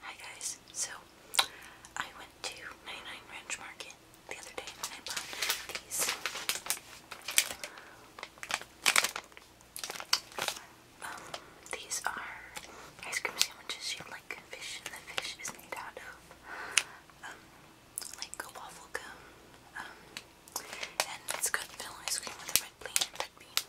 Hi guys, so I went to 99 Ranch Market the other day and I bought these um, these are ice cream sandwiches you like fish and the fish is made out of um, like a waffle gum um, and it's got vanilla ice cream with a red bean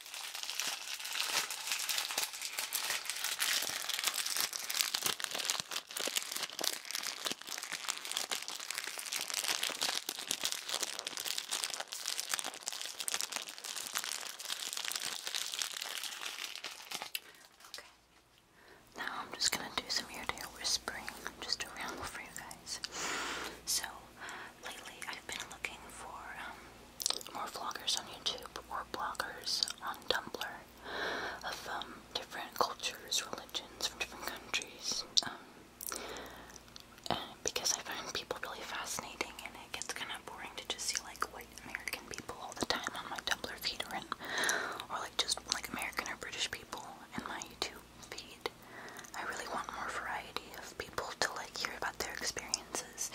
Okay. Now I'm just gonna do some ear to ear whispering just around for you guys. So lately I've been looking for um, more vloggers on YouTube or bloggers on Tumblr of um, different cultures, religions from different countries. Um, because I find people really fascinating, and it gets kind of boring to just see like white American people all the time on my Tumblr feed, or, or like just like American or British people in my YouTube feed. I really want more variety of people to like hear about their experiences.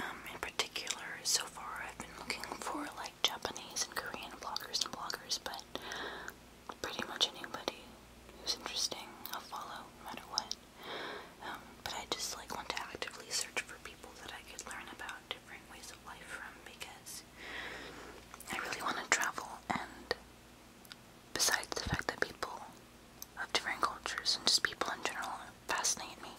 Um, in particular, so far I've been looking for like Japanese and Korean bloggers and bloggers, but pretty much anybody who's interesting, I'll follow no matter what. Um, but I just like want to actively search for people that I could learn about different ways of life from because I really want to travel and Besides the fact that people of different cultures and just people in general fascinate me,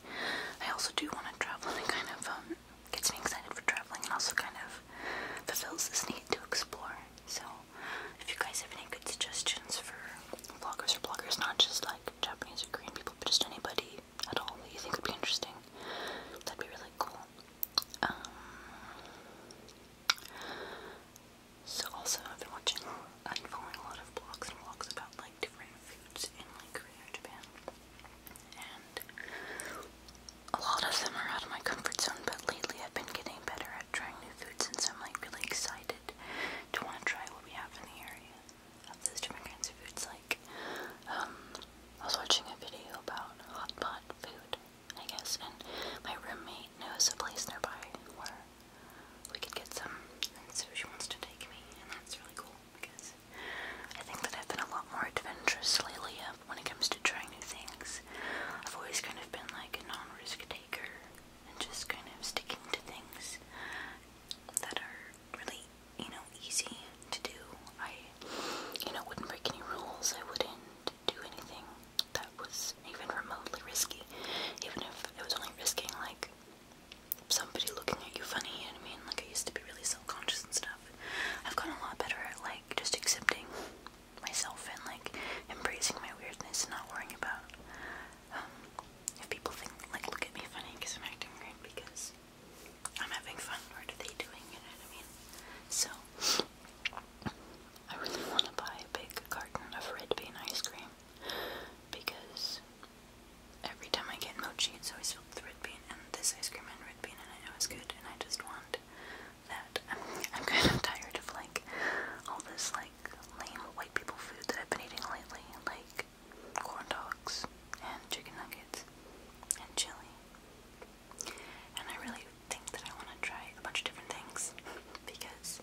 I also do want to travel and it kind of um, gets me excited for traveling and also kind of fulfills this need to explore. So, if you guys have any good suggestions for vloggers or bloggers, not just like Japanese or Korean people, but just anybody at all that you think would be interesting, that'd be really cool. Um, so also I've been watching and following a lot of blogs and vlogs about like different foods in like Korea Japan. And a lot of them are out of my comfort zone, but lately I've been getting better at trying new foods and so I'm like really excited to want to try what we have in the area of those different kinds of foods. Like, um, I was watching a video about hot pot food I guess, and my roommate knows a place nearby where we could get some, and so she wants to take me, and that's really cool because I think that I've been a lot more adventurous lately uh, when it comes to trying new things. I've always kind of been like a non risk taker and just kind of sticking to things that are really, you know, easy to do. I, you know, wouldn't break any rules, I wouldn't do anything that was even remotely risky, even if it was only risking like somebody looking at you funny. You know what I mean? Like I used to be really self-conscious and stuff. I've gotten a lot better at like just accepting myself and like embracing my weirdness and not worrying about um, if people think like look at me funny because I'm acting weird because I'm having fun. What are they doing? You know what I mean? So, I really want to buy a big carton of red bean ice cream because every time I get mochi, it's always filled with red bean, and this ice cream had red bean and I know it's good, and I just want that. I'm kind of tired of like all this like lame white people food that I've been eating lately, like corn dogs and chicken nuggets and chili and I really think that I want to try a bunch of different things because,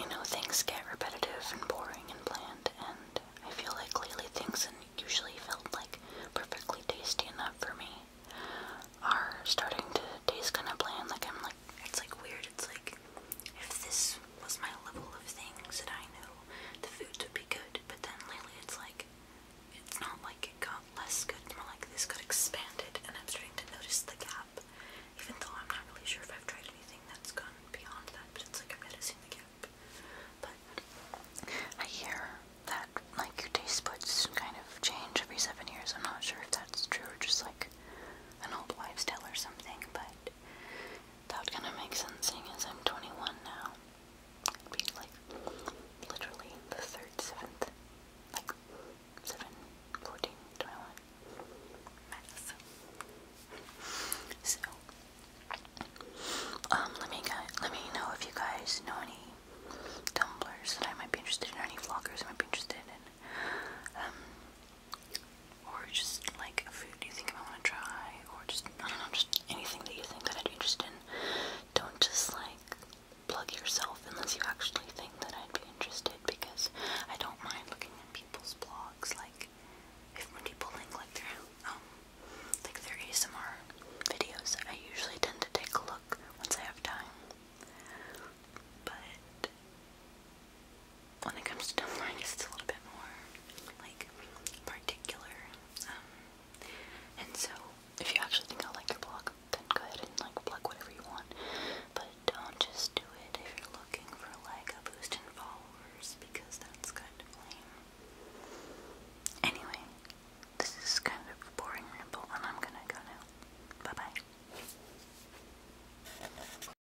you know, things get repetitive and boring and bland, and I feel like lately things that usually felt like perfectly tasty enough for me are starting to taste kind of bland. Like, I'm like, it's like weird. It's like, if this was my level of things that I know the food would be good, but then lately it's like, it's not like it got less good, more like this got expanded, and I'm starting to notice the gap, even though I'm not really sure if I've tried anything that's gone beyond that, but it's like I'm noticing the gap. But I hear that, like, your taste buds kind of change every seven years. I'm not sure if that's true or just like an old wives' tale or something, but that kind of makes sense seeing as I'm 21 now. i like literally the 3rd, 7th. Like 7, Math. So, um, let me let me know if you guys know any tumblers that I might be interested in, or any vloggers I might be interested in. Um, or just like food you think I want to try, or just I don't know, just anything that you think that I'd be interested in. Don't just like plug yourself unless you actually think that I'd be interested, because I don't mind looking at people's blogs. Like if when people link like their um like their ASMR videos, I usually tend to take a look once I have time. But when it comes to Tumblr, it's a little bit more like particular. Um, and so, if you actually think I like your blog, then go ahead and like plug whatever you want. But don't just do it if you're looking for like a boost in followers because that's kind Anyway, this is kind of a boring ramble, and I'm gonna go now. Bye bye.